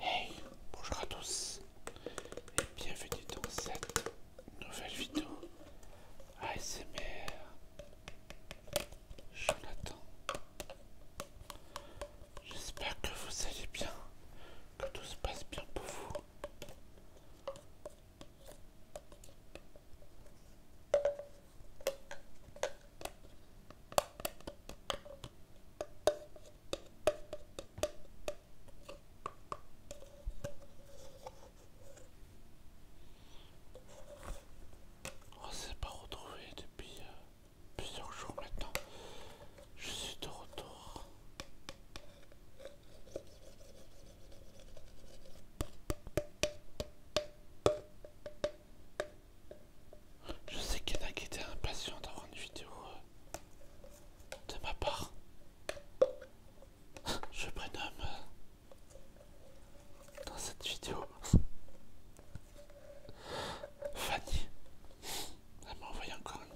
Hey, bonjour à tous et bienvenue dans cette nouvelle vidéo ASMR Jonathan. J'espère que vous allez bien, que tout se passe bien pour vous. On oh, s'est pas retrouvé depuis euh, plusieurs jours maintenant. Je suis de retour. Je sais qu'il y en a qui étaient impatients d'avoir une vidéo euh, de ma part. Je prénomme euh, dans cette vidéo Fanny. Elle m'a envoyé encore une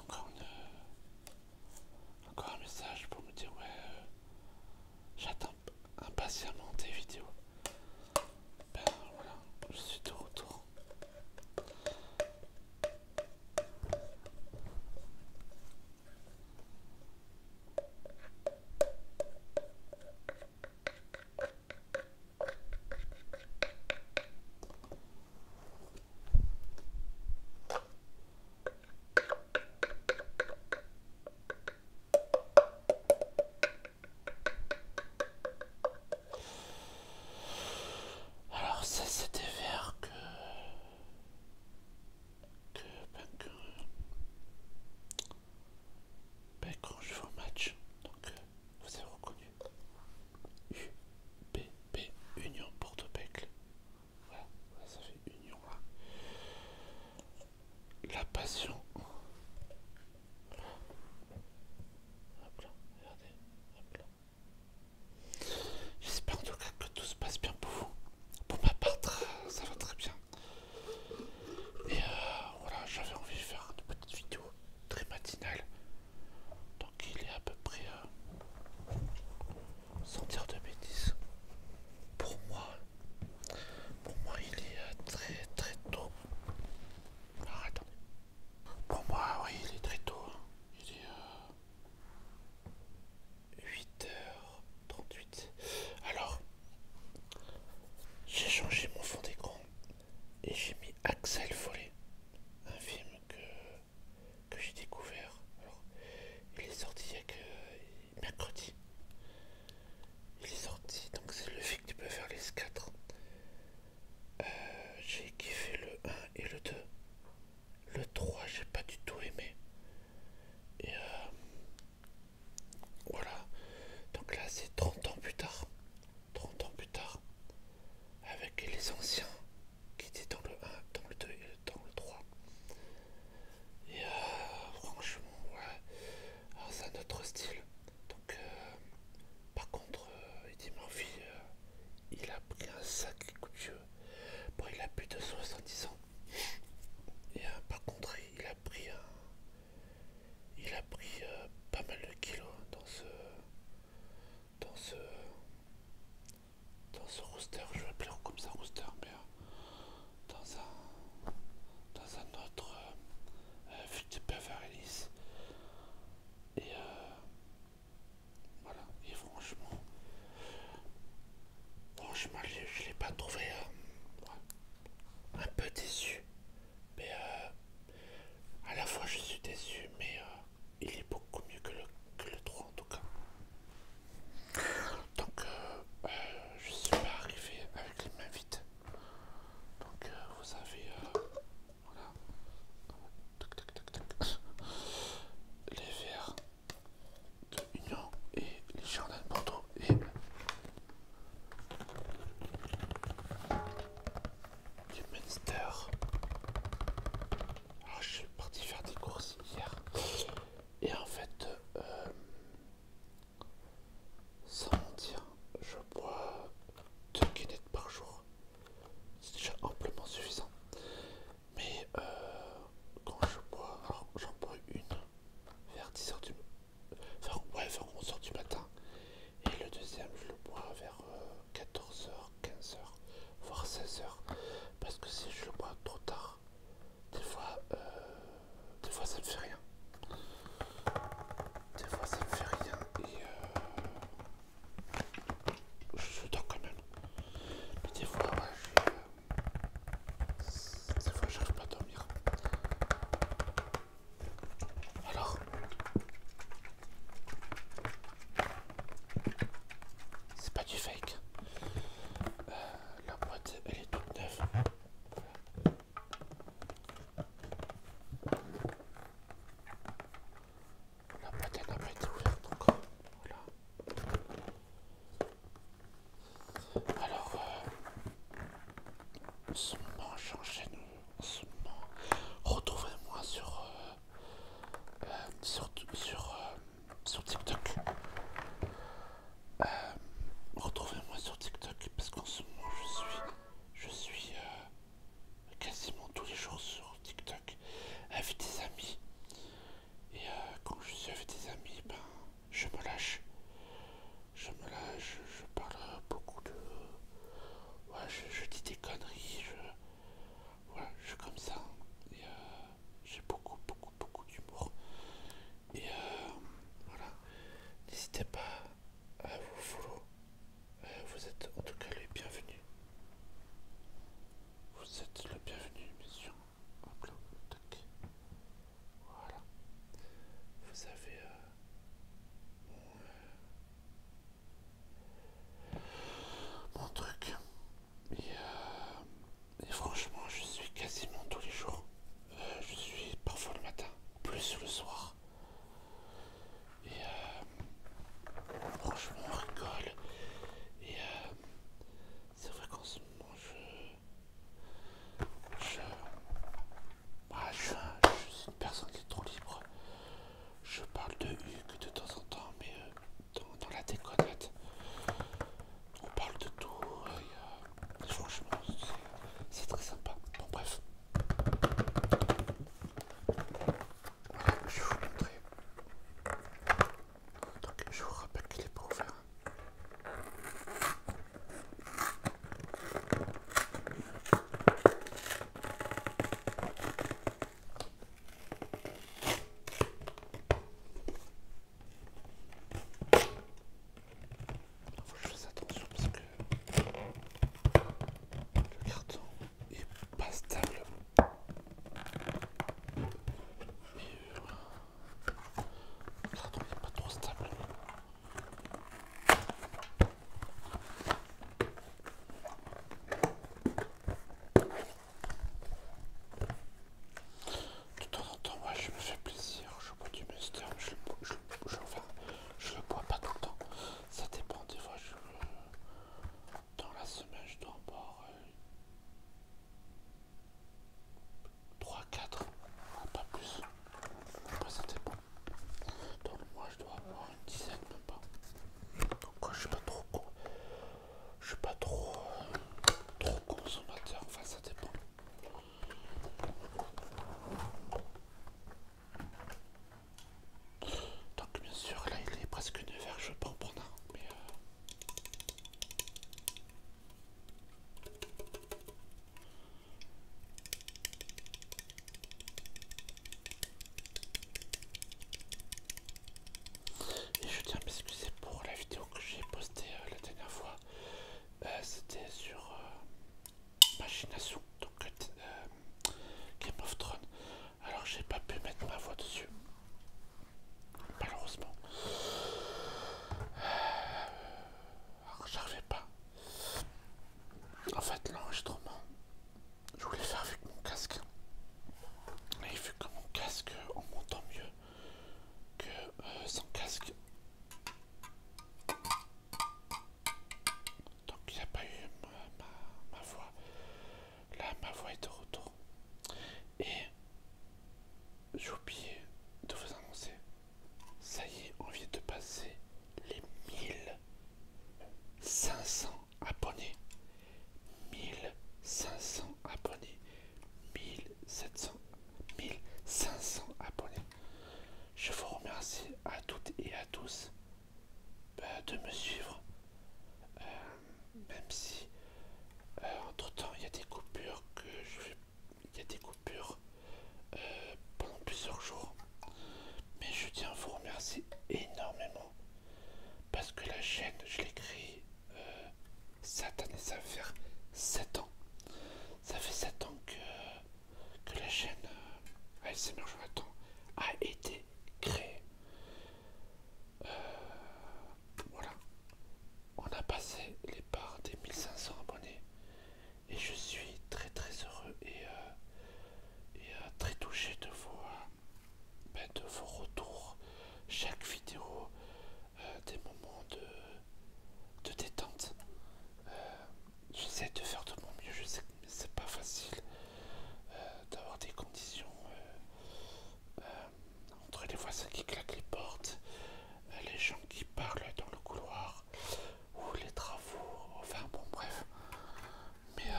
encore euh, encore un message pour me dire ouais. J'attends impatiemment tes vidéos. Ben, voilà, je suis de retour. Alors ça c'était vert que... Que, ben, que... Ben, quand je fais au match, donc euh, vous avez reconnu B Union Porto Ouais Voilà, ça fait Union là la passion. J'espère en tout cas que tout se passe bien pour vous. Pour ma part, ça va très bien. Et euh, voilà, j'avais envie de faire une petite vidéo très matinale. Donc il est à peu près sentir euh, heures mes de Pour moi, pour moi, il est euh, très très tôt. Alors ah, attendez. Pour moi, oui, il est très tôt. Hein. Il est euh, 8h38. Alors, j'ai changé mon fond d'écran et j'ai mis Axel Follet, un film que, que j'ai découvert. Alors, il est sorti il y a que mercredi. Il est sorti, donc c'est le que tu peux faire les 4. Euh, j'ai kiffé le 1 et le 2. Le 3, j'ai pas du tout aimé. Et euh, voilà. Donc là, c'est 30 ans plus tard. 30 ans plus tard. Avec les anciens qui étaient dans le 1, dans le 2 et dans le 3. Et euh, franchement, ouais, ah, c'est un autre style. Donc, euh, par contre, il euh, dit Murphy, il a pris un sacré coup de jeu. Bon, il a plus de 70 ans. Et par contre, il a pris un. Il a pris pas mal de kilos hein, dans ce. Dans ce. Dans ce roster. Je vais appeler comme ça roster, mais dans un, autre euh, euh, futur Et euh, voilà, et franchement, franchement, je, l'ai pas trouvé un peu déçu, mais à la fois je suis déçu, mais il est beaucoup mieux que le, que le 3 en tout cas. Donc, euh, euh, je suis arrivé avec les mains vides. Donc, euh, vous avez. voilà. Les verres de Union et les jardins de Bordeaux. Et. du Münster. Alors, ah, je suis parti faire des courses hier. Et en fait. Sans mentir, je bois deux guinettes par jour. C'est déjà amplement suffisant. Mais euh, quand je bois, alors j'en bois une vers 10h du enfin, ouais, 11h du matin. Et le deuxième, je le bois vers 14h, euh, 15h, voire 16h. Parce que si je le bois trop tard, des fois, euh, des fois ça me fait rien. Des fois ça me fait rien et euh, je suis dans quand même. Mais des fois, je euh, des fois j'arrive pas à dormir. Alors, c'est pas du fake. Euh, la boîte elle est toute neuve. La boîte n'a pas été ouverte encore. Voilà. Alors, euh, Ce moment souvent retrouvez-moi sur, moment euh, retrouvez sur, euh, sur TikTok. Euh, retrouvez-moi sur TikTok parce qu'en ce moment je suis, je suis euh, quasiment tous les jours sur TikTok avec des amis. Et euh, quand je suis avec des amis, ben, je me lâche. Je me lâche, je parle beaucoup de... je, dis des conneries, je... Voilà, je suis comme ça. j'ai beaucoup, beaucoup beaucoup, d'humour. Et euh, voilà, n'hésitez pas à vous follow. Euh, vous êtes en tout cas les bienvenus. Vous êtes le bienvenu, monsieur. Hop Voilà. Vous avez euh, mon, truc. Et et franchement, je suis quasiment tous les jours. Euh, je suis parfois le matin, plus le soir. Et euh, franchement, on rigole. Et euh, c'est vrai qu'en ce moment, je. Je. Bah, je, suis une personne qui est trop libre. Je parle de Hugues de temps en temps, mais dans, la déconnette on parle de tout, et, euh, franchement c'est très sympa. Bon bref, je vais vous montrer. Donc je vous rappelle qu'il est pas ouvert. Hein je fais attention parce que le carton est pas stable. Et le carton n'est pas trop stable de temps en temps, moi je me fais plaisir, je bois du Monster, je, je, enfin, je le bois pas tout le temps, ça dépend des fois, je, euh, dans la semaine je dois en boire 3-4, euh, pas plus, après ça dépend, donc moi je dois boire une dizaine même pas, donc je suis pas je suis pas trop, euh, trop consommateur, enfin ça dépend. Donc bien sûr là il est presque une verge je peux prendre mais... Euh... Et je tiens à m'excuser pour la vidéo que j'ai postée euh, la dernière fois euh, c'était sur euh, Machination donc euh, Game of Thrones. Alors j'ai pas pu mettre ma voix dessus, malheureusement. Alors j'arrivais pas. En fait l'enregistrement, je voulais faire avec mon casque. Et vu que mon casque, en montant mieux que sans casque, donc il n'y a pas eu ma, voix. Là, ma voix est de retour. Et j'ai oublié de vous annoncer. Ça y est, on vient de passer les 1500 abonnés. 1500 abonnés. 1000 700 1500 abonnés. Je vous remercie à toutes et à tous euh, de me suivre, euh, même si euh, entre temps il y a des coupures que je il y a des coupures pendant plusieurs jours, mais je tiens à vous remercier énormément parce que la chaîne je l'ai créée cette année, ça va faire 7 ans ça fait 7 ans que, la chaîne euh, ASMR Jonathan a été créée. Euh, voilà, on a passé les parts des 1500 abonnés et je suis très très heureux et, euh, très touché de vos, ben, de vos retours. Chaque vidéo euh, des moments de, de détente. Euh, j'essaie de faire de mon mieux, je sais que c'est pas facile euh, d'avoir des conditions entre les voisins qui claquent les portes, les gens qui parlent dans le couloir ou les travaux, enfin bon, bref. Mais,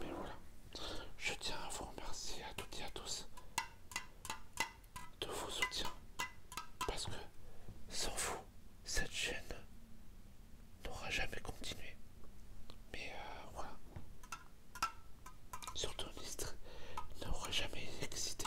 mais voilà, je tiens à vous remercier à toutes et à tous de vos soutiens. Parce que sans vous, cette chaîne n'aura jamais continué. Mais euh, voilà. Surtout n'aurait n'aura jamais existé.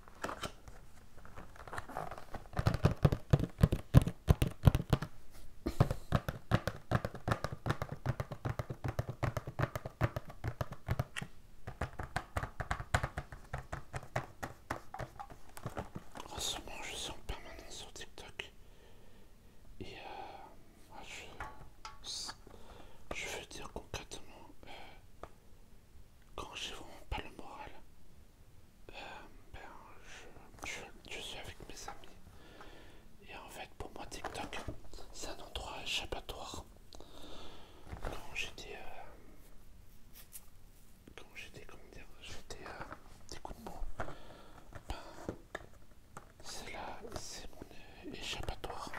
En oh, ce moment, je suis en permanence sur TikTok et euh, ah, je, veux dire concrètement, euh, quand j'ai vraiment pas le moral, euh, ben, je, suis avec mes amis. Et en fait, pour moi, TikTok, c'est un endroit échappatoire. Quand j'étais. Euh, quand j'étais, comment dire, j'étais. Euh, des coups de mots. Ben, c'est là, c'est mon échappatoire.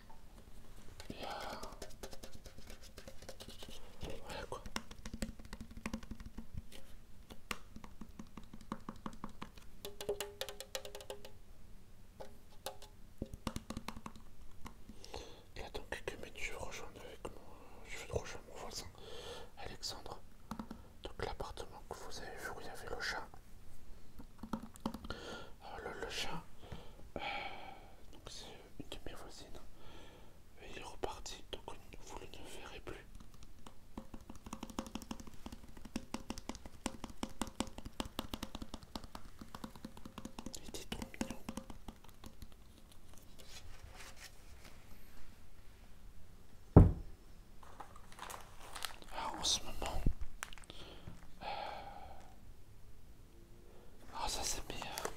Là. Voilà quoi. Il quelques minutes, je avec moi je vais rejoindre mon voisin Alexandre. Donc l'appartement que vous avez vu où il y avait le chat le, le chien, donc c'est euh, une de mes voisines, hein. et il est reparti, donc vous ne le verrez plus. Il était trop mignon. Ah, en ce moment, ah, ça, c'est euh,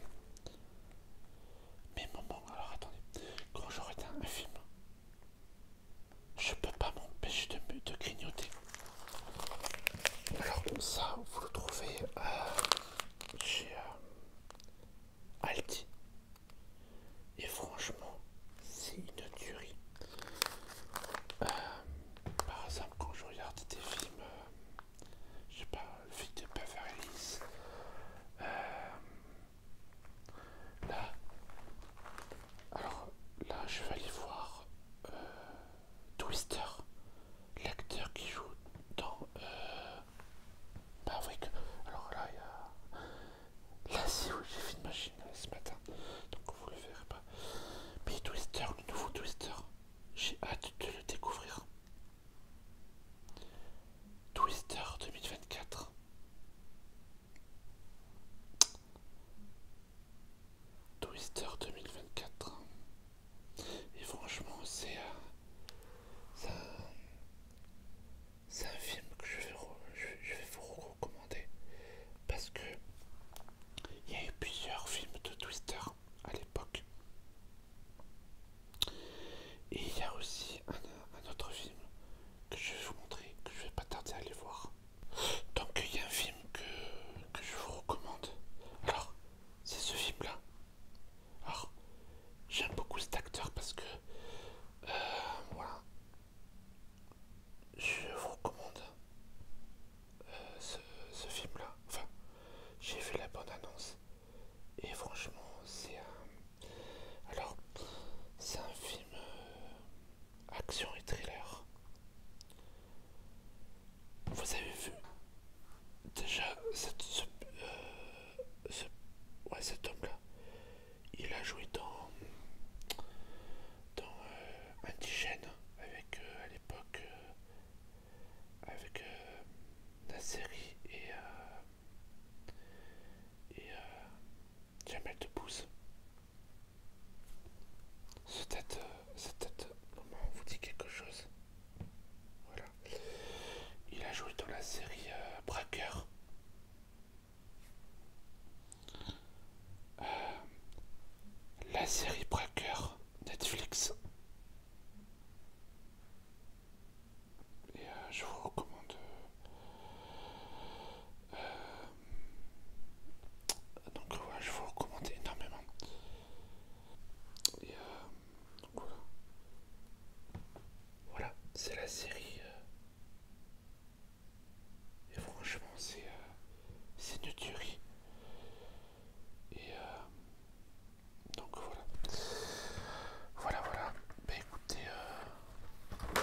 mes, moments. Alors, attendez. Quand je regarde un film, je peux pas m'empêcher de, grignoter. Alors, ça, vous le trouvez euh, chez euh, Aldi. Et franchement, c'est une tuerie. par exemple, quand je regarde des films je sais pas, vite pas faire Beverly euh, là, alors là, je vais aller voir euh, Twister, l'acteur qui joue dans euh, Alors là, il y a. Là, si où j'ai fait une machine ce matin, donc vous le verrez pas. Mais Twister, le nouveau Twister, j'ai hâte de le découvrir. Twister 2024. Twister 2024. Et franchement, c'est euh, un, un film que je vais vous recommander parce que il y a eu plusieurs films de Twister à l'époque. Et il y a aussi un, autre film que je vais vous montrer, que je vais pas tarder à aller voir. Donc il y a un film que, que je vous recommande. Alors, c'est ce film-là. Alors, j'aime beaucoup cet acteur parce que... Euh, voilà. Je vous recommande ce, film-là. Enfin, j'ai vu la bonne annonce et franchement, c'est un. Alors, c'est un film euh, action et thriller. Vous avez vu déjà euh, ce, ouais, cet homme-là. Il a joué dans, dans euh, Indigène avec à l'époque avec la euh, série et, euh, et jamais euh, Jamel Debbouze. cette tête, être tête, on vous dit quelque chose. Voilà. Il a joué dans la série Bracker la série Braqueur Netflix et euh, je vous recommande euh, donc voilà, je vous recommande énormément. Et euh, voilà. c'est la série. et franchement, c'est c'est une tuerie. Et donc voilà. Voilà, voilà. Bah écoutez, euh,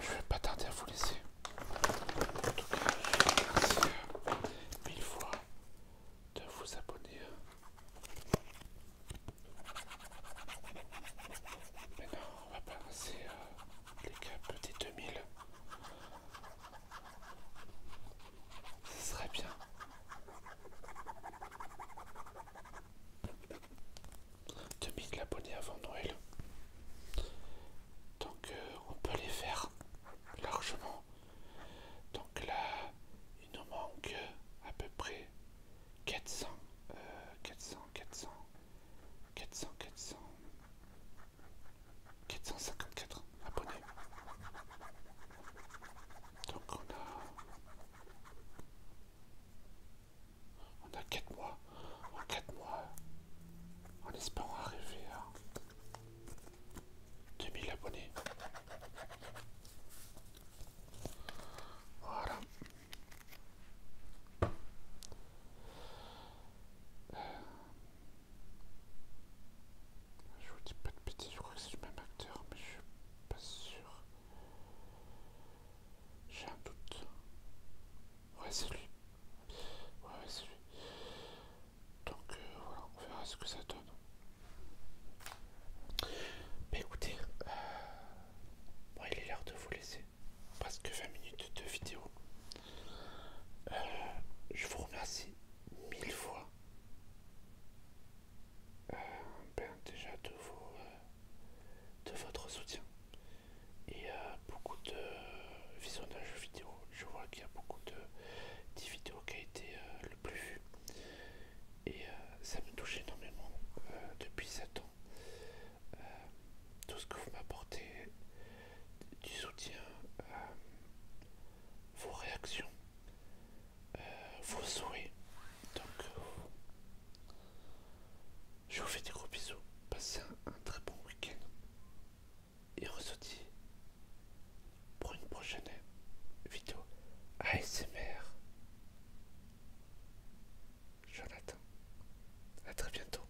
je vais pas tarder à vous laisser. En tout cas, je vous remercie mille fois de vous abonner. Maintenant, on va passer euh, les caps des 2000. Ce serait bien. 2000 abonnés avant Noël. Donc euh, on peut les faire largement. Donc là, il nous manque à peu près 400, 400, 400, 400, 400. 454 abonnés. Donc on a... On a 4 mois. En 4 mois, en espérant arriver à 2000 abonnés. Voilà. Euh, je vous dis pas de bêtises, je crois que c'est le même acteur, mais je suis pas sûr. J'ai un doute. Ouais, c'est lui. Ouais, c'est lui. Donc euh, voilà, on verra ce que ça donne. écoutez, euh, il est l'heure de vous laisser. Presque 20 minutes de vidéo. Euh, je vous remercie mille fois. Euh, déjà de, vos, euh, de votre soutien et euh, beaucoup de visionnage vidéo. Je vois qu'il y a beaucoup de, vidéos qui a été le plus vu et ça me touche énormément depuis sept ans. tout ce que vous m'apportez du soutien, euh, vos réactions, euh, vos souhaits. Donc, euh, je vous fais des gros bisous. Passez un, très bon week-end. Et on pour une prochaine vidéo ASMR. Jonathan, à très bientôt.